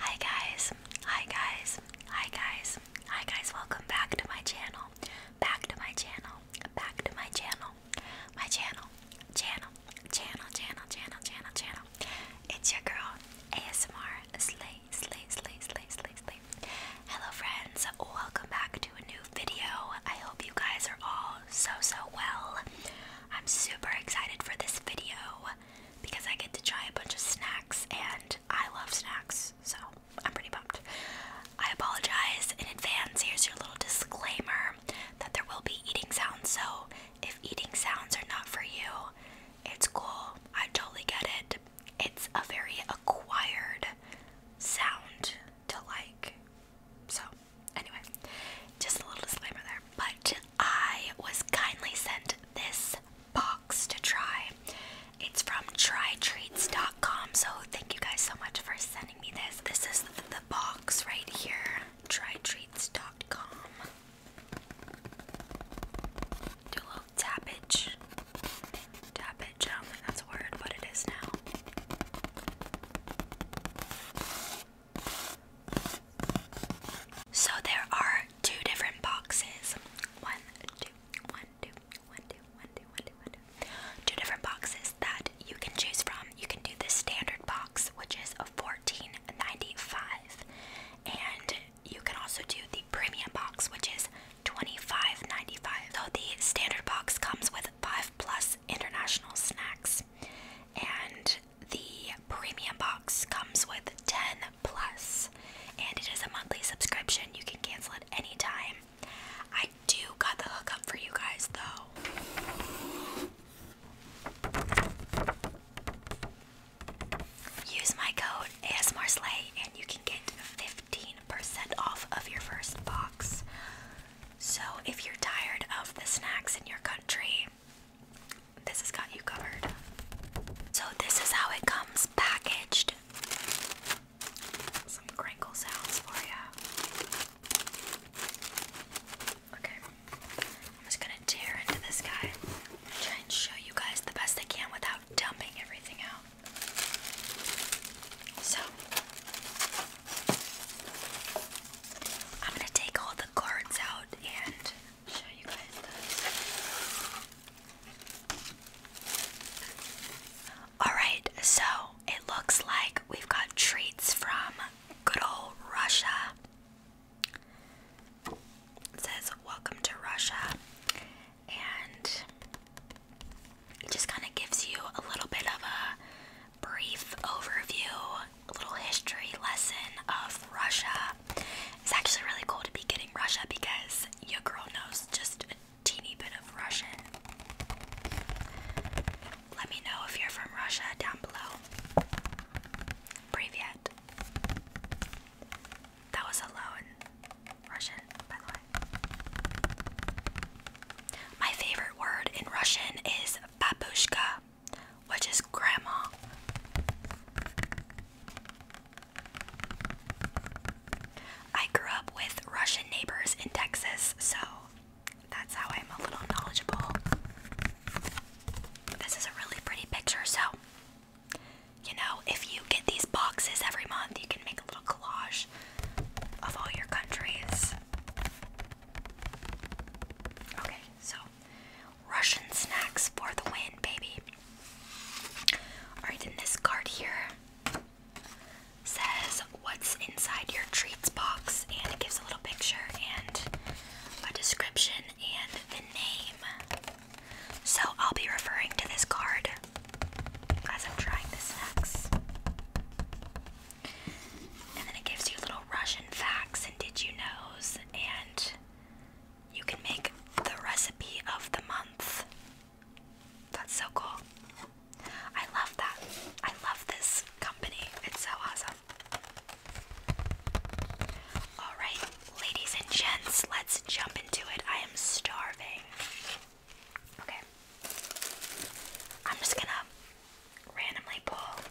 Hi guys, hi guys, hi guys, hi guys, welcome back to my channel, back to my channel, back to my channel, my channel, channel, channel, channel, channel, channel, channel. It's your girl, ASMR Slay, Slay, Slay, Slay, Slay, Slay. Hello friends, welcome back to a new video. I hope you guys are all so, so well. I'm super excited for this video because I get to try a bunch of snacks and I love snacks, so I'm pretty pumped. I apologize in advance. Here's your little disclaimer that there will be eating sounds, so if eating sounds are not for you, it's cool. I totally get it. It's a very acquired sound to like. So, anyway, just a little disclaimer there. But I was kindly sent this box to try. It's from trytreats.com, so thank you guys so much for sending me this. This is the, box right here, trytreats.com. Do a little tappage. Tappage, that's a word, but it is now. So there are two different boxes. One, two, one, two, one, two, one, two, one, two, one, two. Two different boxes that you can choose from. You can do the standard box, which is $14.95. And you can also do the premium box, which is $25.95. So the standard box comes with five plus international snacks. And the premium box comes with 10 plus, and it is a monthly subscription. You can cancel at any time. I do got the hook up for you guys though. Use my code AS Marsley and you can get 15% off of your first box. So if you're tired of the snacks in your country, this has got you covered. So, this is how it comes packaged. Some crinkle sounds for you. Okay, I'm just gonna tear into this guy. Try and show you guys the best I can without dumping everything out. So, I'm gonna take all the cards out and Alright, so it looks like we've got treats from good old Russia. says, Welcome to Russia. And it just kind of gives you a little bit of a brief overview, a little history lesson of Russia it's actually really cool to be getting Russia because your girl knows just a teeny bit of Russian. Let me know if you're from Russia down below. Privyet. That was hello Russian, by the way. My favorite word in Russian is babushka which is grandma. I grew up with Russian neighbors in Texas, so that's how I'm a little knowledgeable. This is a really pretty picture, so you know, if you get these boxes every month, you can make a little collage of all your countries. Okay, so Russian snacks for the win, baby. Alright, then this card here says what's inside your treats box, and it gives a little picture and a description and the name. So I'll be referring to this card as I'm trying the snacks. And then it gives you little Russian facts and did you knows and you can make the recipe of the month. That's so cool. I love that. I love this company. It's so awesome. Alright, ladies and gents, let's jump into it. I am starving. Okay. I'm just gonna randomly pull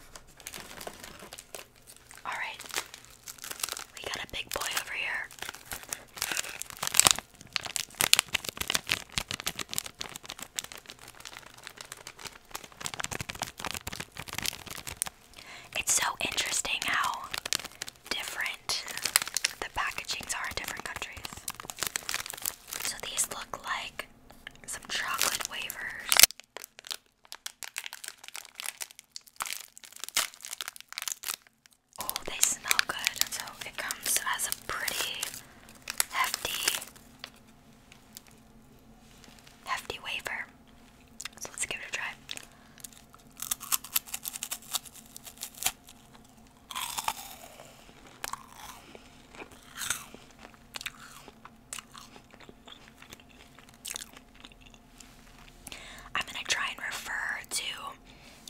Alright, we got a big boy over here. It's so interesting how different the packagings are in different countries. So these look like some chocolate wafers. Oh, they smell good, so it comes as a pretty hefty, hefty wafer. So let's give it a try. I'm gonna try and refer to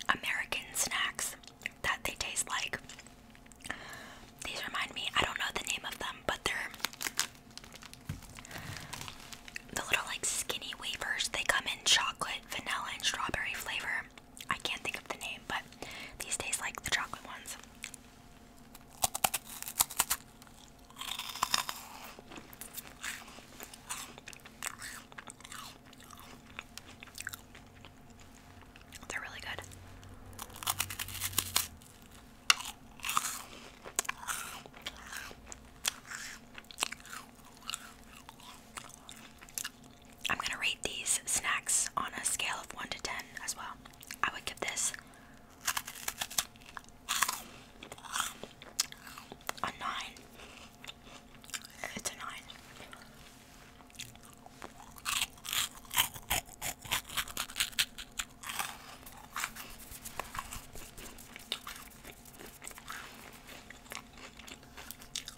American snacks that they taste like. These remind me, I don't know the name of them, but they're the little like skinny wafers. They come in chocolate, vanilla, and strawberry flavor. I can't think of the name, but these taste like the chocolate ones. They're really good. I'm going to rate these snacks on a scale of 1 to 10 as well. I would give this a nine. It's a nine.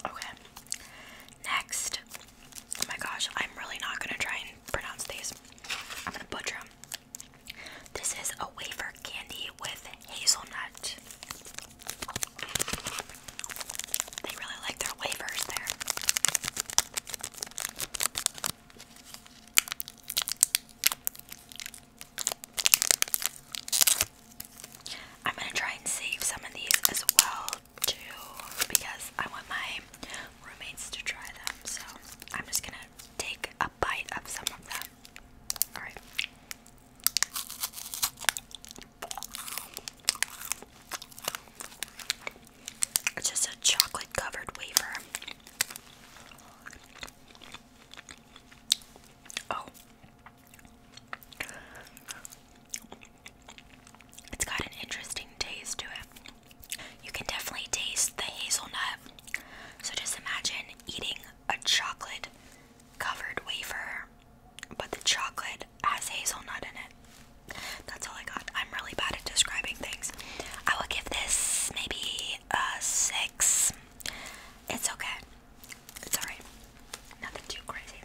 Okay. Next. Oh my gosh, I'm really not gonna try and pronounce these. I'm gonna butcher them. This is a wafer candy with hazelnut. They really like their wafers there. I'm gonna try and save some of these as well too because I want my roommates to try them. So I'm just gonna take a just a chocolate covered wafer. Oh. It's got an interesting taste to it. You can definitely taste the hazelnut. So just imagine eating a chocolate covered wafer, but the chocolate has hazelnut in it. That's all I got. I'm really bad at describing things. I would give this maybe a six. It's okay. It's alright. Nothing too crazy.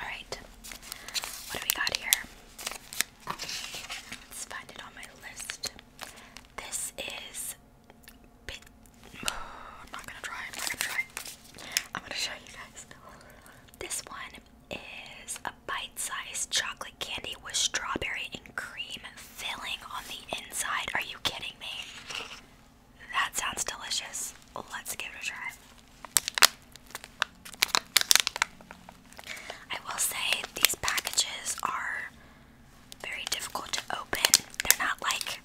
Alright. What do we got here? Let's find it on my list. This is I'm not gonna try. I'm not gonna try. I'm gonna show you guys. This one is a bite-sized chocolate candy with strawberry and cream filling on the inside. Are you kidding me? That sounds delicious. Let's give it a try. I will say these packages are very difficult to open. They're not like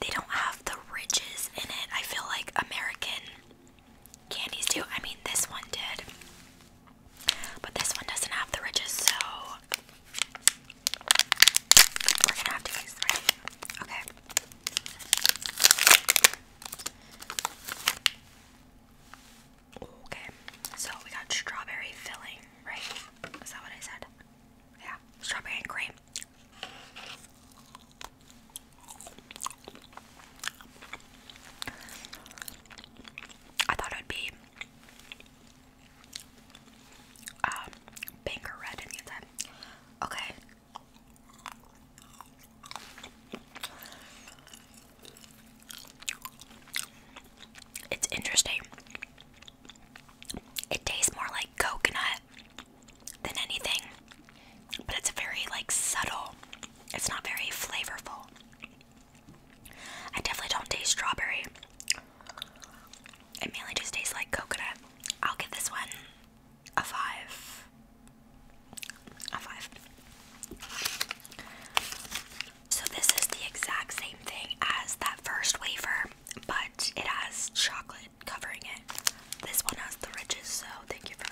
they don't have the ridges in it. I feel like American candies do. I mean, this one did. But this one doesn't have the ridges, so we're gonna have to use the right? Okay. Okay, so we got strawberry filling, right? Is that what I said? Yeah, strawberry and cream. I thought it would be um, pink red Okay. It's interesting. It tastes more like coconut than anything, but it's very like subtle. It's not very flavorful. I definitely don't taste strawberry. It mainly just tastes like coconut. I'll give this one a five. A five. So this is the exact same thing as that first wafer, but it has chocolate covering it. This one has the ridges, so thank you for that.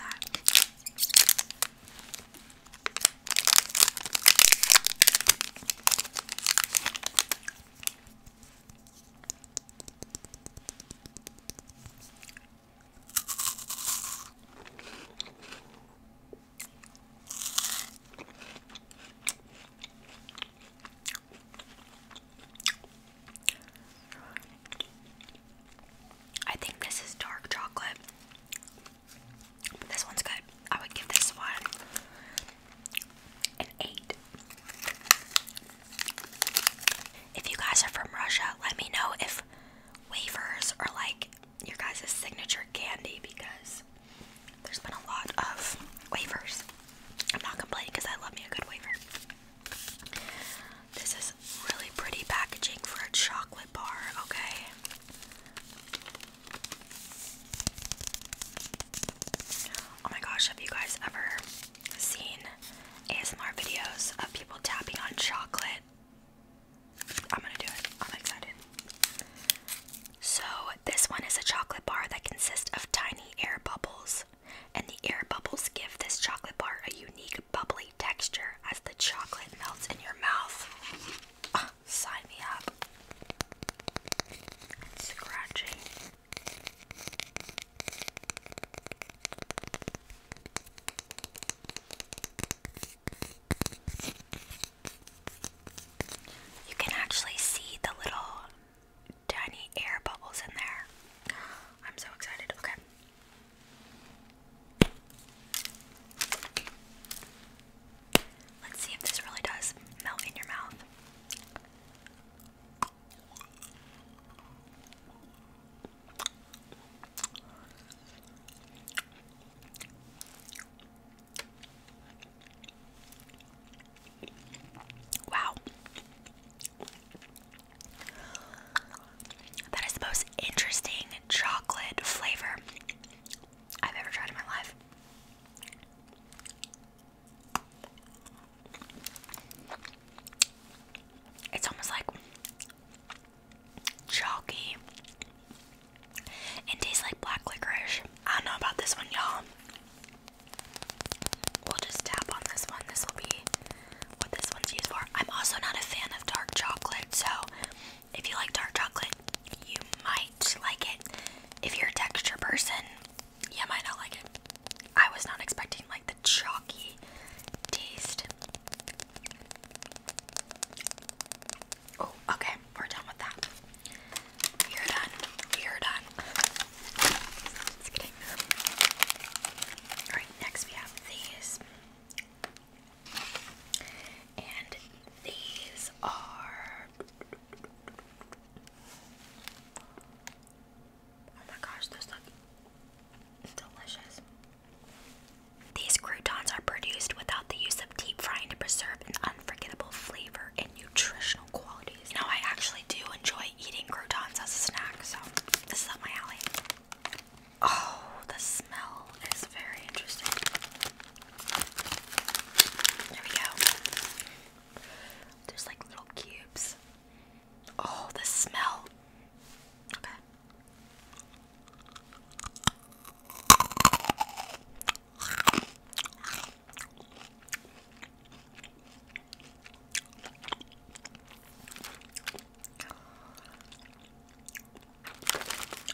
I think this is dark chocolate. this one's good. I would give this one an 8. If you guys are from Russia, let me know if wafers are like your guys' signature candy because there's been a lot of wafers. I'm not complaining because I love me a good wafer. This is really pretty packaging for a chocolate bar, okay? Oh my gosh, have you guys ever seen ASMR videos of people tapping on chocolate? I'm gonna do it. I'm excited. So, this one is a chocolate bar that consists of tiny air bubbles, and the air bubbles give this chocolate bar a unique bubbly texture as the chocolate melts in your mouth. Ah, sign me up. Scratching. You can actually see the little tiny air bubbles in there. I'm so excited. Okay. Let's see if this really does melt in your mouth. Wow. That is the most interesting chocolate flavor I've ever tried in my life. It's almost like chalky and tastes like black licorice. I don't know about this one, y'all. We'll just tap on this one. This will be what this one's used for. I'm also not a fan of dark chocolate, so if you like dark chocolate, you might like it. If you're a texture person, you might not like it. I was not expecting like the chalky taste. Oh, okay, we're done with that. You're done. You're done. Just kidding. Alright, next we have these. And these are Oh my gosh, those look delicious. These croutons are produced without the use of deep frying to preserve an unforgettable flavor and nutritional qualities. Now, I actually do enjoy eating croutons as a snack, so this is up my alley. Oh, the smell is very interesting. There we go. There's like little cubes. Oh, the smell.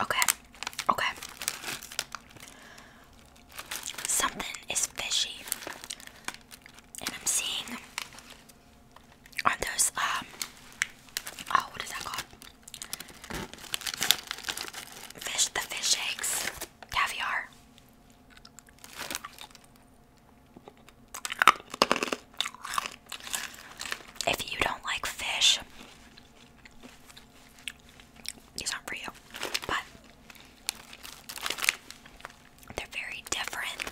Okay, okay. Something is fishy, and I'm seeing on um, those um oh what is that called? Fish, the fish eggs, caviar. If you don't like fish, these aren't for you, but they're very different.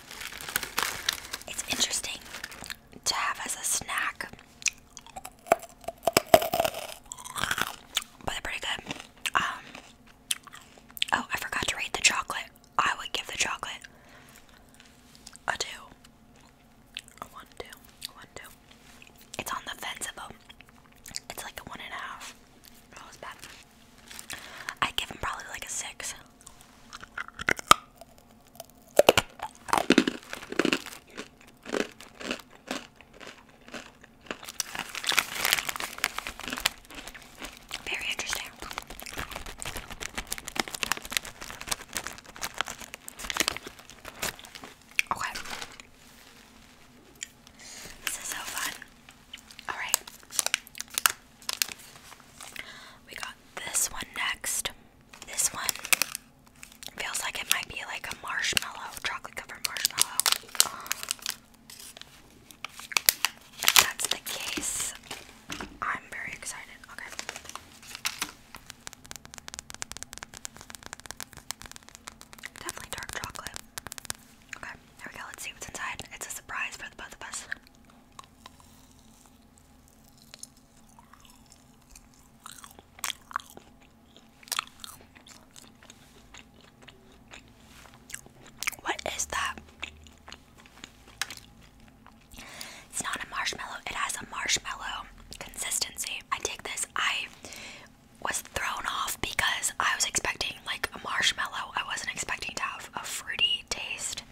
It's interesting to have as a snack but they're pretty good. Um, oh, I forgot to rate the chocolate. I would give the chocolate a two. A one, two, a one, two. It's on the fence about. It's like a one and a half. Oh, that was bad. I'd give him probably like a six. Very interesting. Okay. This is so fun. Alright. We got this one next. This one Feels like it might be like a marshmallow, chocolate covered marshmallow. If that's the case, I'm very excited. Okay. Definitely dark chocolate. Okay, there we go. Let's see what's inside. It's a surprise for the both of us. What is that? It's not a marshmallow, it has a marshmallow consistency. I take this, I was thrown off because I was expecting like a marshmallow, I wasn't expecting to have a fruity taste.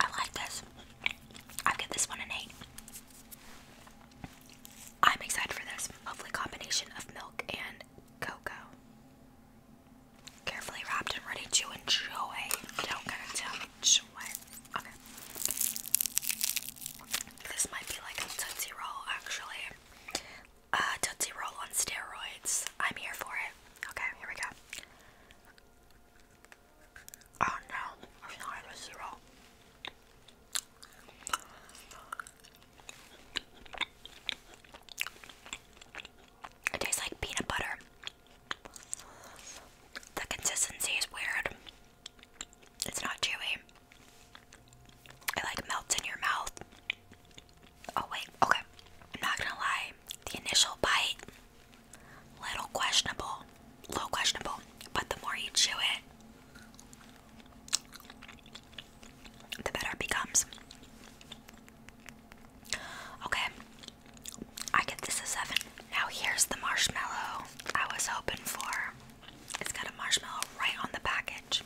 I like this. I give this one an 8. I'm excited for this. Lovely combination of milk and cocoa. Carefully wrapped and ready to enjoy. Don't gotta tell what. Okay. This might be like a Tootsie Roll, actually. Uh, Tootsie Roll on steroids. I'm here for it. Okay, here we go. Oh no, it's not even zero. It tastes like peanut butter. The consistency is weird. It's not chewy. It like melts in your mouth. Oh wait, okay. I'm not gonna lie. The initial bite Little questionable, little questionable, but the more you chew it, the better it becomes. Okay, I give this a seven. Now here's the marshmallow I was hoping for. It's got a marshmallow right on the package.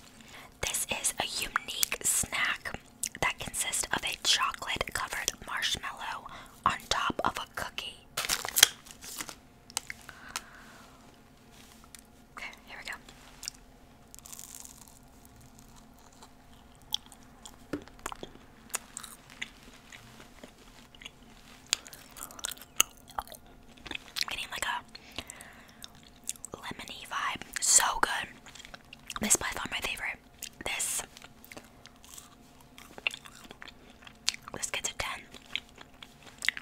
This is a unique snack that consist of a chocolate covered marshmallow on top of a cookie. Okay, here we go. getting like a lemony vibe. So good. This is by my favorite this. This gets a 10.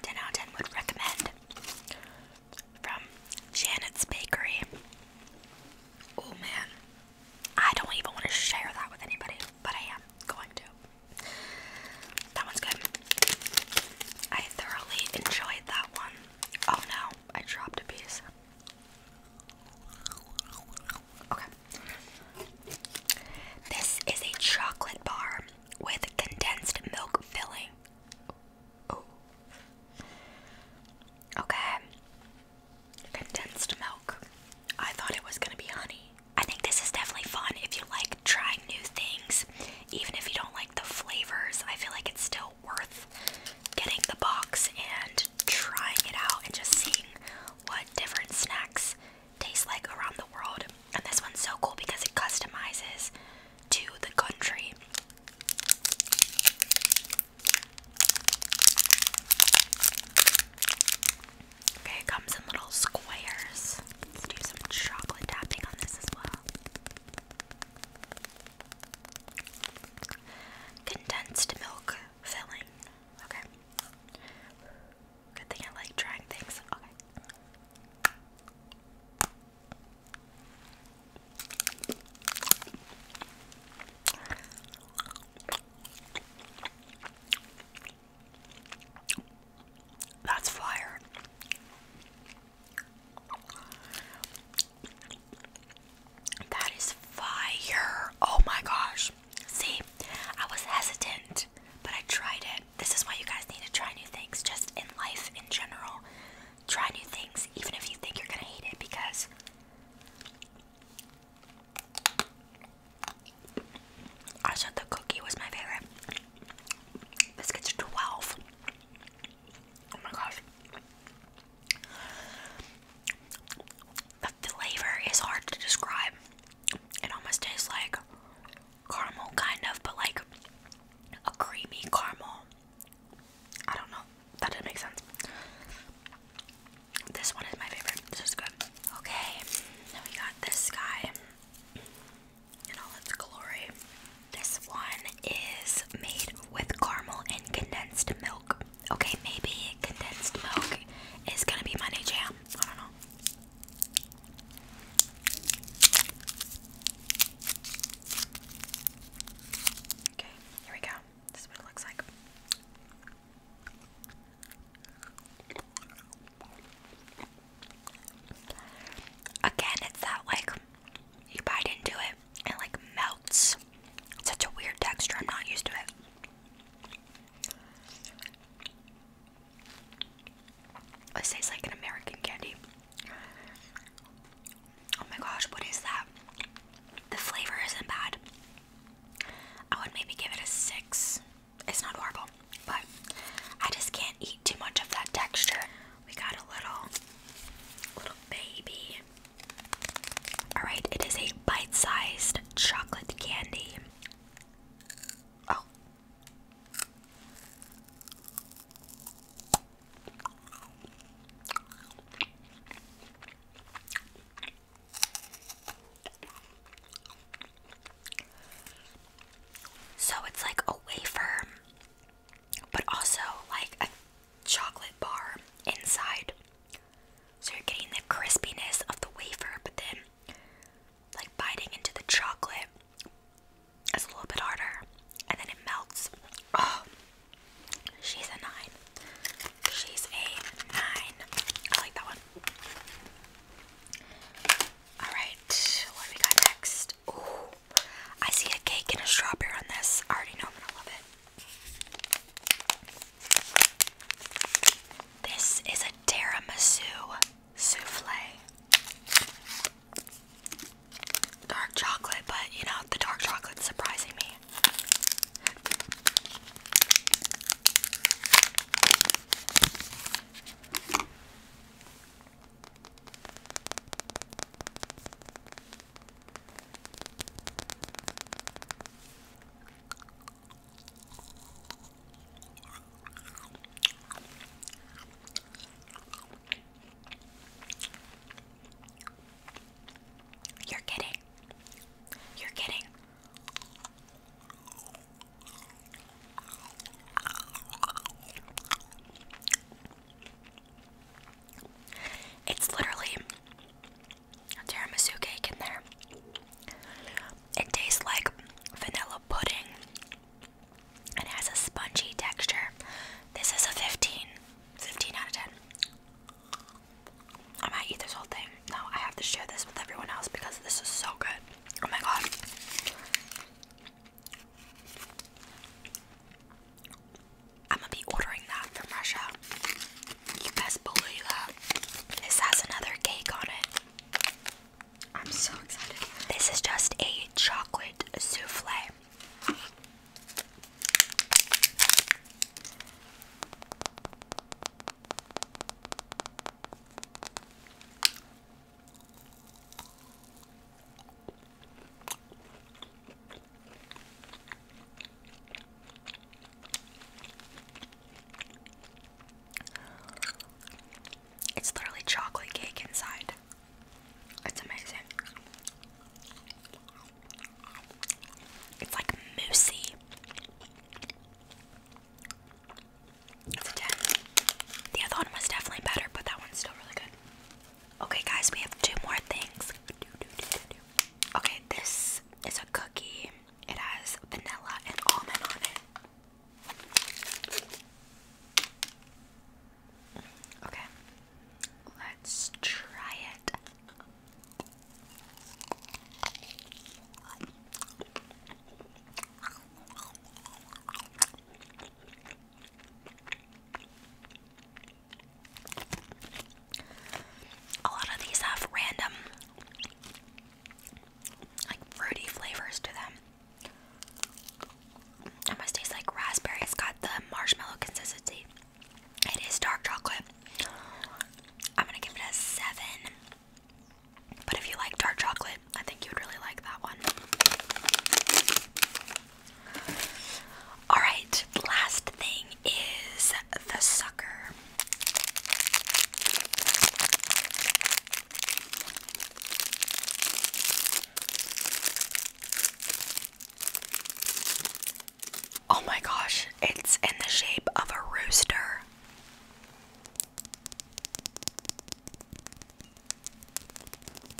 10 out of 10 would recommend. From Janet's Bakery. Oh man. I don't even want to share that with anybody, but I am going to. That one's good. I thoroughly enjoyed that one. Oh no, I dropped a piece. Okay. This is a chocolate bar with condensed milk filling. Ooh. Okay. Condensed milk. I thought it was gonna be honey. I think this is definitely fun if you like trying new things. Even if you don't like the flavors, I feel like it's still worth getting the box and trying it out and just seeing what different snacks taste like around the world. And this one's so cool because it customizes to the country. Okay, it comes in little squares. Let's do some chocolate tapping on this as well. Condensed milk filling. Okay. Good thing I like trying things. Okay. That's fire. That is fire. Oh my gosh. See, I was hesitant, but I tried it. This is why you guys need to try new things just in life in general. Try new things, even if you think you're going to hate it, because I said the cookie was my favorite. Biscuits are 12. Oh my gosh. The flavor is hard to describe. It almost tastes like caramel, kind of, but like a creamy caramel. I don't know. That didn't make sense. This one is my favorite. This is good. Okay, now we got this guy in all its glory. This one is made with caramel and condensed milk. Okay, maybe condensed milk is gonna be my jam. I don't know. Okay, here we go. This is what it looks like. Again, it's that like you bite into it and like melts. such a weird texture. I'm not used to it. It tastes like an American candy. Oh my gosh, what is that? The flavor isn't bad. I would maybe give it a six. It's not horrible, but I just can't eat too much of that texture. We got a little, little baby Alright, it is a bite sized chocolate candy. Oh. So it's like a wafer, but also like a chocolate bar inside. So you're getting the crispiness of the wafer, but then like biting into the chocolate is a little bit harder, and then it melts. Oh, she's a nine. She's a nine. I like that one. All right, what do we got next? Ooh, I see a cake and a strawberry on this. I already know I'm gonna love it. This is a tiramisu souffle. Dark chocolate, but you know, the dark chocolate's surprising me. You're kidding. You're kidding. It's literally tiramisu cake in there. It tastes like vanilla pudding and has a spongy texture. This is a 15. out of 10. I might eat this whole thing. No, I have to share this with everyone else because this is so good. Oh my god. I'm gonna be ordering that from Russia. You best believe that. This has another cake on it. I'm so excited. This is just a chocolate souffle. It's literally chocolate cake inside. It's amazing. It's like moosey. It's a 10. The other one was definitely better, but that one's still really good. Okay, guys, we have two more things. Okay, this is a cookie. It has vanilla and almond on it. Okay, let's try it. A lot of these have random, like fruity flavors to them. It must taste like raspberry. got the marshmallow consistency. It is dark chocolate. I'm gonna give it a seven. But if you like dark chocolate, I think you would really like that one. Alright, last thing is the sucker. Oh my gosh, it's in the shape of a rooster.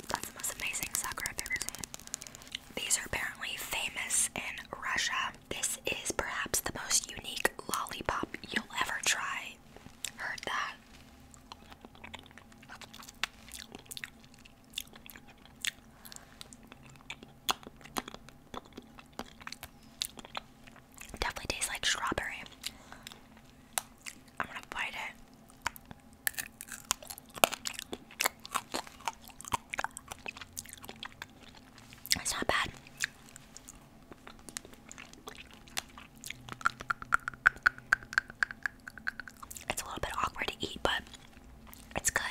That's the most amazing sucker I've ever seen. These are apparently famous in Russia um, this is perhaps the most unique lollipop you'll ever try. Heard that? Definitely tastes like strawberry. I'm gonna bite it. It's not bad. It's a little bit awkward to eat, but it's good.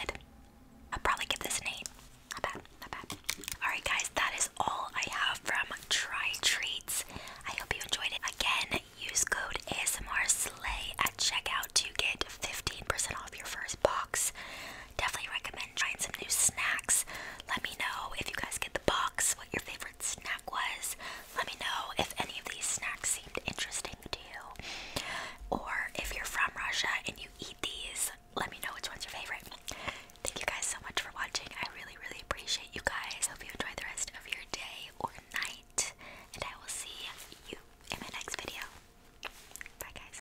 I'd probably give this an 8. Not bad, not bad. Alright, guys, that is all I have from Try Treats. I hope you enjoyed it. Again, use code ASMR SLAY at checkout to get 15% off your first box definitely recommend trying some new snacks. Let me know if you guys get the box, what your favorite snack was. Let me know if any of these snacks seemed interesting to you. Or if you're from Russia and you eat these, let me know which one's your favorite. Thank you guys so much for watching. I really, really appreciate you guys. Hope you enjoy the rest of your day or night. And I will see you in my next video. Bye, guys.